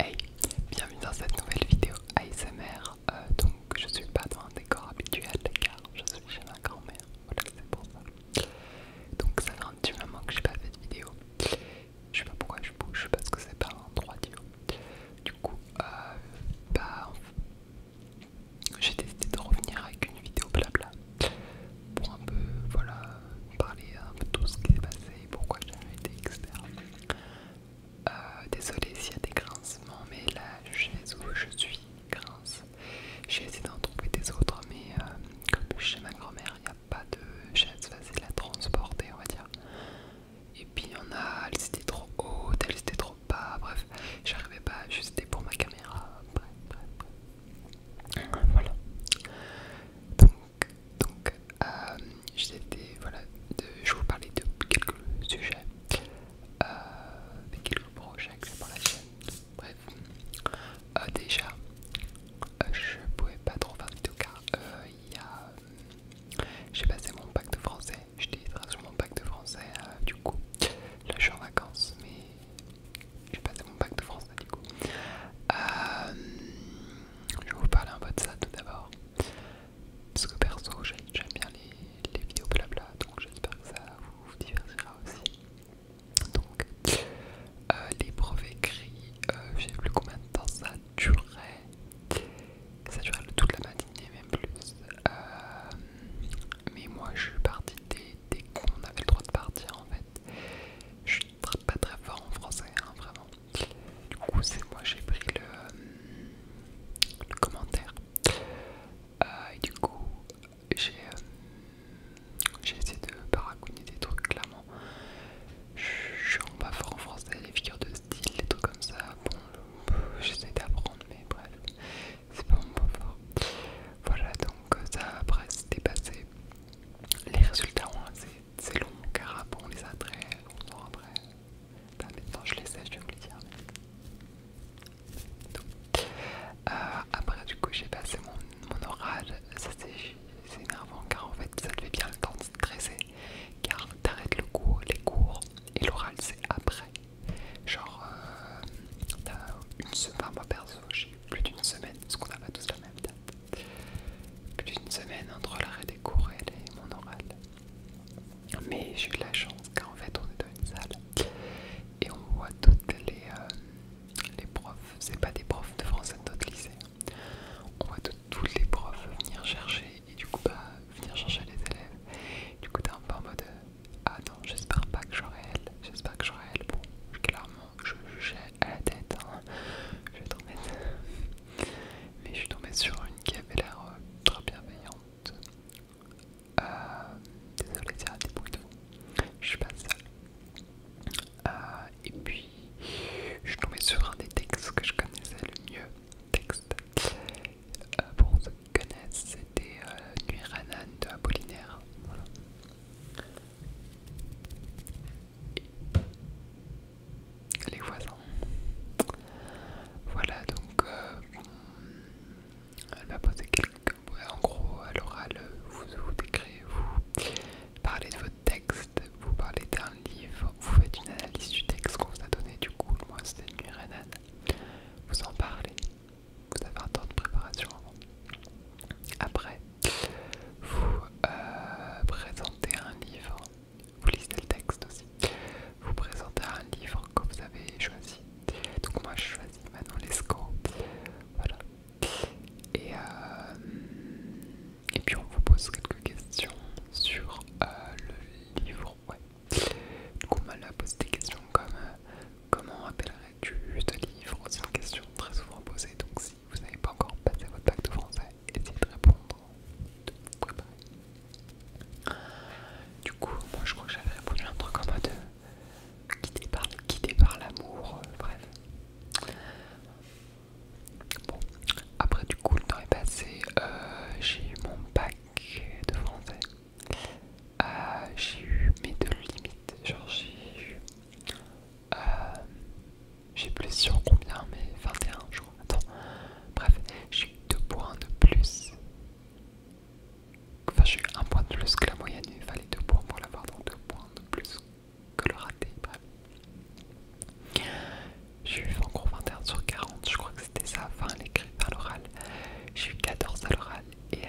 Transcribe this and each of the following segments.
Hey, bienvenue dans cette nouvelle vidéo ASMR. Euh, donc, je suis pas dans un décor habituel car je suis chez ma grand-mère. Voilà, c'est pour ça. Donc, ça fait un moment que j'ai pas fait de vidéo. Je sais pas pourquoi je bouge parce que c'est pas un 3 haut. Du coup, euh, bah, j'ai décidé de revenir avec une vidéo blabla pour un peu, voilà, parler un peu de tout ce qui s'est passé, et pourquoi jamais été, etc. Euh, Désolée s'il y a des grincements, mais la chaise où je suis, grince. J'ai essayé d'en trouver des autres, mais euh, comme chez ma grand-mère, il n'y a pas de chaise de la transporter, on va dire. Et puis il y en a, elle étaient trop haute, elle étaient trop bas, bref, j'arrivais pas juste pour ma caméra. Bref, bref, Voilà donc, vais euh, j'étais voilà je vous parler de quelques sujets euh, des quelques projets que pour la chaîne bref euh, déjà je je pouvais pas trop faire de vidéo car il j'ai passé mon bac de français j'étais sur mon bac de français du coup là je suis en vacances mais j'ai passé mon bac de français du coup je vais vous parler un peu de ça tout d'abord parce que perso, j'aime bien les, vidéos blabla, donc j'espère que ça vous divertira aussi. Donc, euh, les brevets écrits, j'ai euh, je plus combien de temps ça durait. Ça durait toute la matinée, même plus. Euh, mais moi, je suis partie des cons, on avait le droit de partir en fait. Je suis pas très fort en français, hein, vraiment. Du coup, c'est moi, j'ai pris le, commentaire. Euh, et du coup, j'ai euh, essayé de paragonner des trucs, clairement. Je suis pas fort en français, les figures de style, les trucs comme ça. Bon, j'essaie d'apprendre, mais bref, c'est pas mon point fort. Voilà, donc ça, après, c'était passé. Les résultats ont assez c'est long car après on les a très longtemps après. maintenant je les sais, je vais vous les dire. Euh, après du coup j'ai passé mon, oral, ça c'est énervant car en fait ça te bien le temps de stresser car t'arrêtes le cours, les cours et l'oral c'est après. Genre euh, une semaine, moi perso j'ai plus d'une semaine parce qu'on n'a pas tous la même date plus d'une semaine entre l'arrêt des cours et mon oral. Mais j'ai eu la chance car en fait on est dans une salle et on voit toutes les, euh, les profs, c'est pas des profs de français de notre lycée, on voit toutes les profs venir chercher et du coup pas bah, venir chercher les élèves. Du coup t'es un peu en mode euh, ah non j'espère pas que j'aurai elle, j'espère que j'aurai elle. Bon clairement je jugeais à la tête, hein. je vais mais je suis tombé sur une qui avait l'air euh, très bienveillante. Euh, désolé, il y des bruits de Je suis pas seule. Euh, et puis, je suis tombé sur un des textes que je connaissais le mieux. Texte. pour ceux qui connaissent, c'était Nuit Ranane de Apollinaire les voisins. Voilà donc euh, elle va poser quelques en gros à l'oral vous vous décrivez, vous parlez de votre texte, vous parlez d'un livre, vous faites une analyse du texte qu'on vous a donné du coup, moi c'était une Renan. Vous en parlez, vous avez un temps de préparation Après, vous euh, présentez un livre vous lisez le texte aussi, vous présentez un livre que vous avez choisi. Donc moi je choisis Manon Lescaut, voilà. Et, euh, et puis on vous pose quelques questions sur euh, le livre, ouais. Du coup on m'a poser des questions comme euh, comment appellerais-tu ce livre C'est une question très souvent posée, donc si vous n'avez pas encore passé votre bac de français, et d'essayer de répondre, de préparer. Du coup, moi je crois que j'avais répondu un truc en mode euh, quitté par, l'amour, euh, bref. Bon, après du coup, le temps est passé, euh, j'ai eu mon bac de français. j'ai eu mes deux limites, genre j'ai eu j'ai plus sur combien Mais 21, je crois. Attends. Bref, j'ai eu 2 points de plus. Enfin, j'ai eu 1 point de plus que la moyenne. Il fallait 2 points pour l'avoir, donc 2 points de plus que le raté. Bref. J'ai eu encore 21 sur 40. Je crois que c'était ça. Enfin, l'écrit à l'oral. J'ai eu 14 à l'oral. Et euh,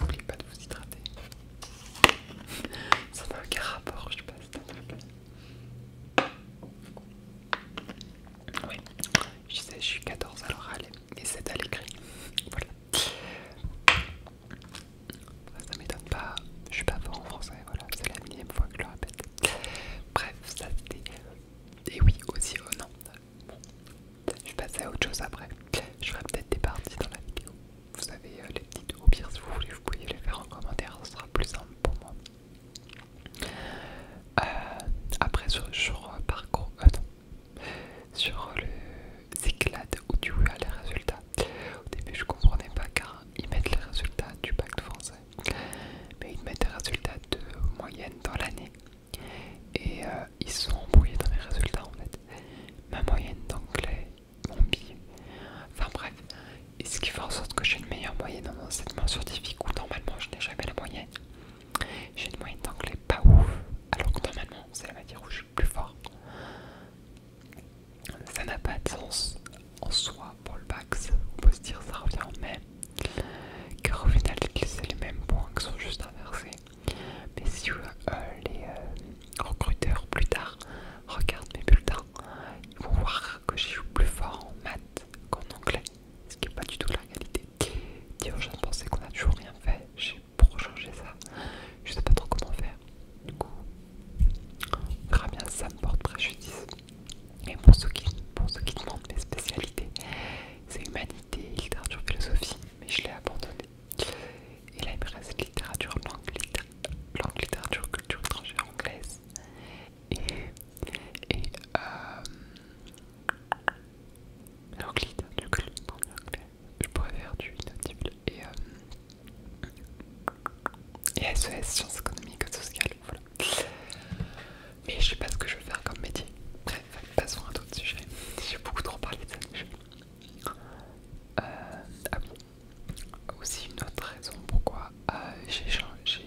n'oubliez pas de vous hydrater. Ça n'a aucun rapport, je passe. Oui, je sais, je suis 14 à l'oral et 7 à l'écrit. Voilà. Ça m'étonne pas, je suis pas fort en français, voilà, c'est la millième fois que je le répète. Bref, ça c'était. Et oui, aussi, oh non, bon, je passer à autre chose après. Je ferai peut-être des parties dans la vidéo. Vous avez euh, les petites, au pire, si vous voulez, vous pouvez les faire en commentaire, ce sera plus simple pour moi. Euh, après sur, parcours, sur euh, euh, le Cyclade où tu as les résultats. Au début je comprenais pas car ils mettent les résultats du pacte français, mais ils mettent les résultats de moyenne dans l'année et ils sont embrouillés dans les résultats en fait. Ma moyenne d'anglais, mon billet, enfin bref, et ce qui fait en sorte que j'ai une meilleure moyenne en enseignement scientifique où normalement je n'ai jamais la moyenne. J'ai une moyenne d'anglais pas ouf, alors que normalement c'est la matière où je suis plus fort. Ça n'a pas de sens en soi pour le bac, on peut se dire ça revient en même, car au final c'est les mêmes points qui sont juste inversés. Mais si euh, les euh, recruteurs plus tard regardent mes bulletins, ils vont voir que j'ai joué plus fort en maths qu'en anglais, ce qui est pas du tout la réalité. je pensais qu'on a toujours rien fait, j'ai pour changer ça, je sais pas trop comment faire. Du coup, on bien ça me porte préjudice. Et pour ceux qui, pour qui demandent mes spécialités, c'est humanité, littérature, philosophie, mais je l'ai abandonné. Et là il me reste littérature, langue, littérature, culture étrangère anglaise et, et euh, je pourrais faire du et, euh, et SES, sciences économiques et sociales, voilà. Mais je sais pas ce que je veux faire comme métier. Bref, passons à d'autres sujets. J'ai beaucoup trop parlé de ça. Euh, ah Aussi une autre raison pourquoi j'ai changé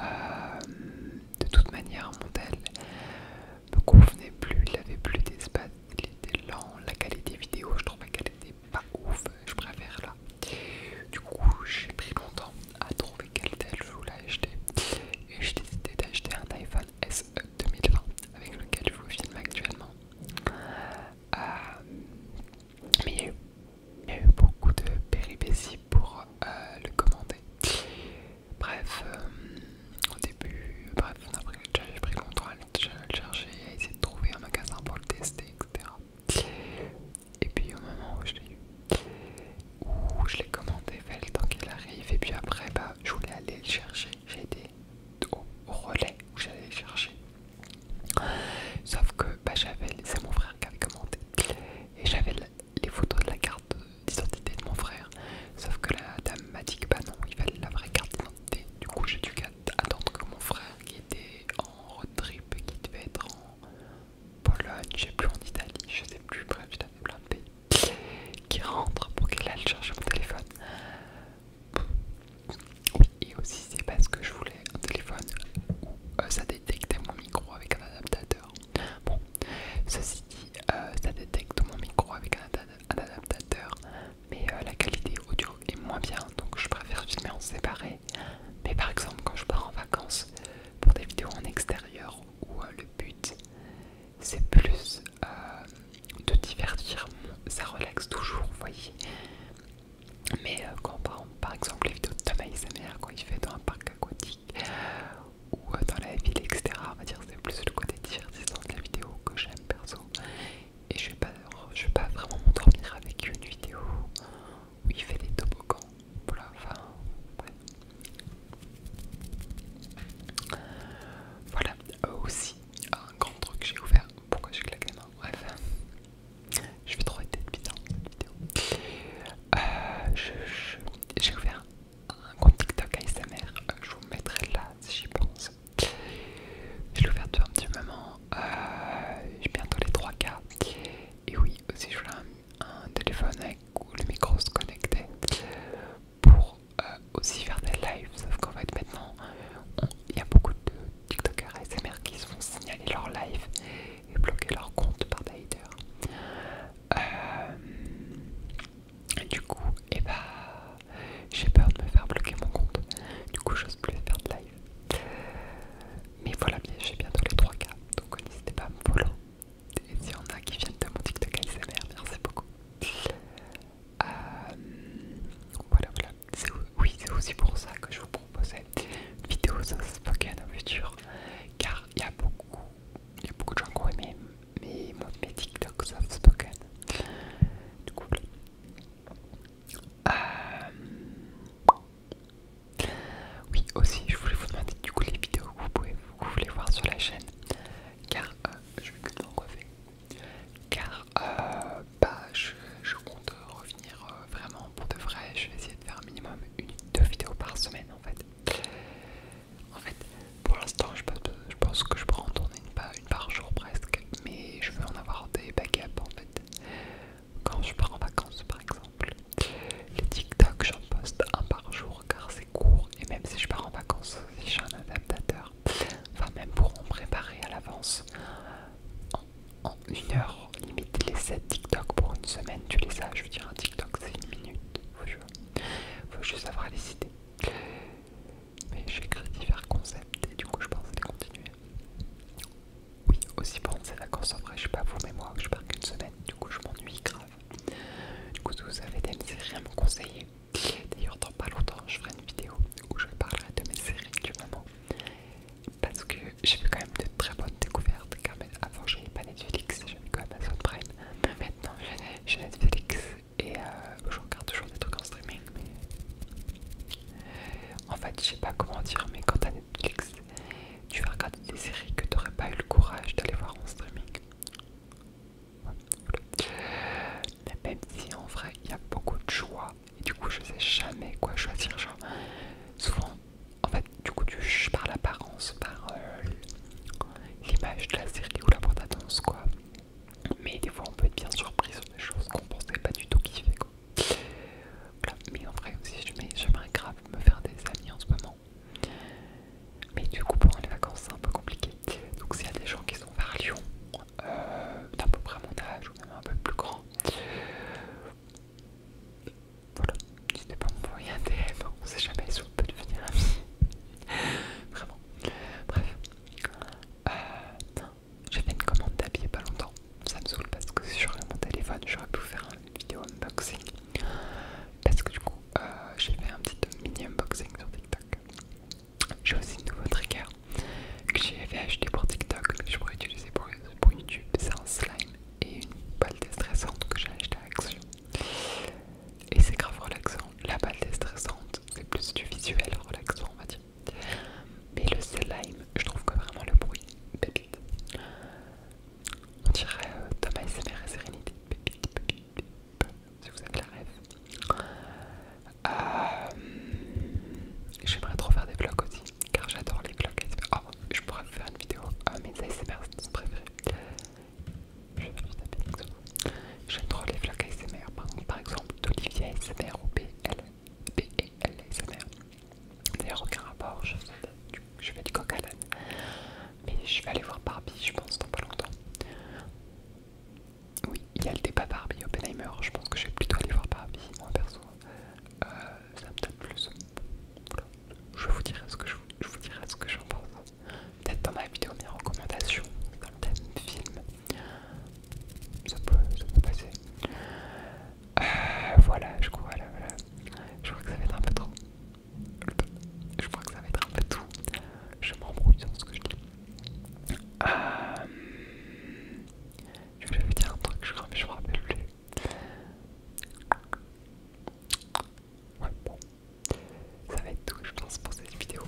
euh, de toute manière, mon tel me convenait plus, il avait plus d'espace, il était lent, la qualité vidéo, je trouvais qu'elle était pas ouf, je préfère là. Du coup, j'ai pris longtemps à trouver quel tel je voulais acheter et j'ai décidé d'acheter un iPhone SE 2020 avec lequel je vous filme actuellement. Euh, mais il y a eu beaucoup de péripéties pour euh, le commander. Bref, euh, au début, bref, j'ai pris contrôle, à le chercher, à essayer de trouver un magasin pour le tester, etc. Et puis au moment où je l'ai eu, où je l'ai commandé, fait le temps qu'il arrive, et puis après, bah, je voulais aller le chercher, j'ai été au, relais où j'allais le chercher. Sauf que bah, j'avais, c'est mon frère qui avait commandé, et j'avais les photos de la carte d'identité de mon frère. Sauf que la dame m'a dit que bah non, il fallait la vraie carte d'identité. Du coup, j'ai dû attendre que mon frère, qui était en road trip, qui devait être en Pologne, je sais plus, en Italie, je sais plus, bref, il plein de pays, qui rentre pour qu'il aille chercher mon téléphone. et aussi c'est parce que je voulais un téléphone où euh, ça détectait mon micro avec un adaptateur. Bon, ceci dit, euh, ça détecte mon micro avec un, adaptateur, mais euh, la qualité audio est moins bien, donc je préfère filmer en séparé. Mais par exemple, quand je pars en vacances pour des vidéos en extérieur où euh, le but c'est plus de divertir, ça relaxe toujours, vous voyez. Mais quand on par exemple les vidéos de Thomas et sa quand il fait dans un parc aquatique, ou euh, dans la ville, etc. On va dire c'est plus le côté divertissant de la vidéo que j'aime perso. Et je vais pas, je vais pas vraiment m'endormir avec une vidéo où il fait des toboggans. Voilà, enfin, Voilà, aussi un grand truc que j'ai ouvert. Pourquoi je claqué les mains Bref, je vais trop être bizarre cette vidéo. Euh, j'ai ouvert un compte TikTok ASMR, euh, je vous mettrai là si j'y pense. J'ai l'ouverture ouvert un petit moment, j'ai euh, bientôt les 3K. Et oui, aussi je voulais un, téléphone avec où le micro se connectait pour euh, aussi faire des lives. Sauf qu'en fait maintenant, il y a beaucoup de TikTokers ASMR qui se font signaler leur live et bloquer leur compte par des euh, du coup, et eh ben, j'ai peur de me faire bloquer mon compte. Du coup, j'ose plus faire de live. Mais voilà, j'ai bientôt les 3K. Donc, n'hésitez pas à me follow. Et s'il y a qui viennent de mon TikTok ASMR, merci beaucoup. Euh, voilà, voilà. Oui, c'est aussi pour ça que je vous proposais une vidéo sans Spoken au futur. Car il y a beaucoup il y a beaucoup de gens qui ont aimé mes, TikToks soft Du coup, euh, oui, aussi, je voulais vous demander du coup les vidéos que vous, pouvez, vous voulez voir sur la chaîne, car euh, je vais que m'en refaire. Car euh, bah, je, compte revenir vraiment pour de vrai. Je vais essayer de faire un minimum une, deux vidéos par semaine en fait. En fait, pour l'instant, je, pense que je pourrais en tourner une par, jour presque, mais je veux en avoir des backups en fait. Quand je pars en vacances par exemple, les TikTok j'en poste un par jour car c'est court et même si je pars en vacances, si j'ai un adaptateur, enfin même pour en préparer à l'avance, en, une heure, limite les 7 TikTok pour une semaine, tu les as, je veux dire un TikTok c'est une minute, faut juste avoir les idées. Mais créé divers concepts et du coup je pense les continuer. Oui, aussi pendant ces vacances, en vrai, je sais pas vous, mais moi, je pars qu'une semaine, du coup je m'ennuie grave. Du coup, si vous avez des séries à me conseiller, d'ailleurs, dans pas longtemps, je ferai une vidéo où je parlerai de mes séries du moment. Parce que j'ai fait quand même de très bonnes découvertes, car même avant, j'avais pas Netflix, comme Amazon Prime. maintenant, j'ai Netflix et euh, je regarde toujours des trucs en streaming. Euh, en fait, je sais pas comment dire, mais quand t'as Netflix, tu vas regarder des séries que t'aurais pas eu le courage d'aller voir en streaming. Même si en vrai il y a beaucoup de choix et du coup je sais jamais quoi choisir genre souvent en fait du coup, tu parles par l'apparence, par euh, l'image de la série ou la bande quoi. Mais des fois, on peut être bien surpris sur des choses qu'on pensait pas du tout kiffer, quoi. Mais en vrai aussi, j'aimerais grave me faire des amis en ce moment. Mais du coup, pendant les vacances, c'est un peu compliqué. Donc, s'il y a des gens qui sont vers Lyon, euh, d'un peu près mon âge ou même un peu plus grand, voilà, c'était pas envoyé un DM, on ne sait jamais si on peut devenir amis. Vraiment. Bref. Euh, j'ai fait une commande d'habits pas longtemps. Ça me saoule parce que si j'aurais mon téléphone, j'aurais pu faire une vidéo unboxing. Parce que du coup, euh, j'ai fait un petit mini unboxing sur TikTok. J'ai aussi un nouveau trigger que j'avais acheté pour TikTok je pourrais utiliser pour, YouTube. C'est un slime et une balle déstressante que j'ai acheté à Action. Et c'est grave relaxant. La balle est stressante, c'est plus du visuel relaxant, on va dire. Mais le slime, je trouve que vraiment le bruit, On dirait euh, Thomas et Sérénité, si vous avez la rêve. Euh, j'aimerais trop faire des vlogs aussi, car j'adore les vlogs oh, je pourrais faire une vidéo à mes ASMR préférés. J'aime trop les vlogs ASMR, par exemple d'Olivier ASMR ou BL ASMR. E D'ailleurs, aucun rapport, je fais, du, je Mais je vais aller voir Barbie, je pense, dans pas longtemps. Oui, il y a le débat Barbie Oppenheimer, je pense que je vais plutôt aller voir Barbie, moi perso. Euh, ça me tente plus. Je vous dirai ce que je, je vous dirai ce que j'en pense peut-être dans ma vidéo mes recommandations dans le thème film ça peut, passer euh, voilà je crois voilà, je crois que ça va être un peu trop je crois que ça va être un peu tout je m'embrouille dans ce que je dis euh, je vais dire un truc je crois mais je me rappelle plus ça va être tout, je pense, pour cette vidéo.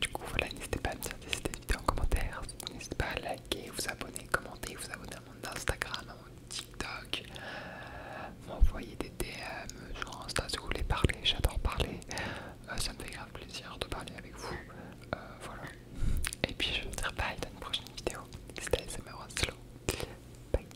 Du coup, voilà, n'hésitez pas à me dire si cette vidéo en commentaire. N'hésitez pas à liker, vous abonner, commenter, vous abonner à mon Instagram, à mon TikTok. M'envoyer des DM sur Insta si vous voulez parler. J'adore parler. Euh, ça me fait grave plaisir de parler avec vous. Euh, voilà. Et puis, je vous dis bye dans une prochaine vidéo. C'était Slow. Bye.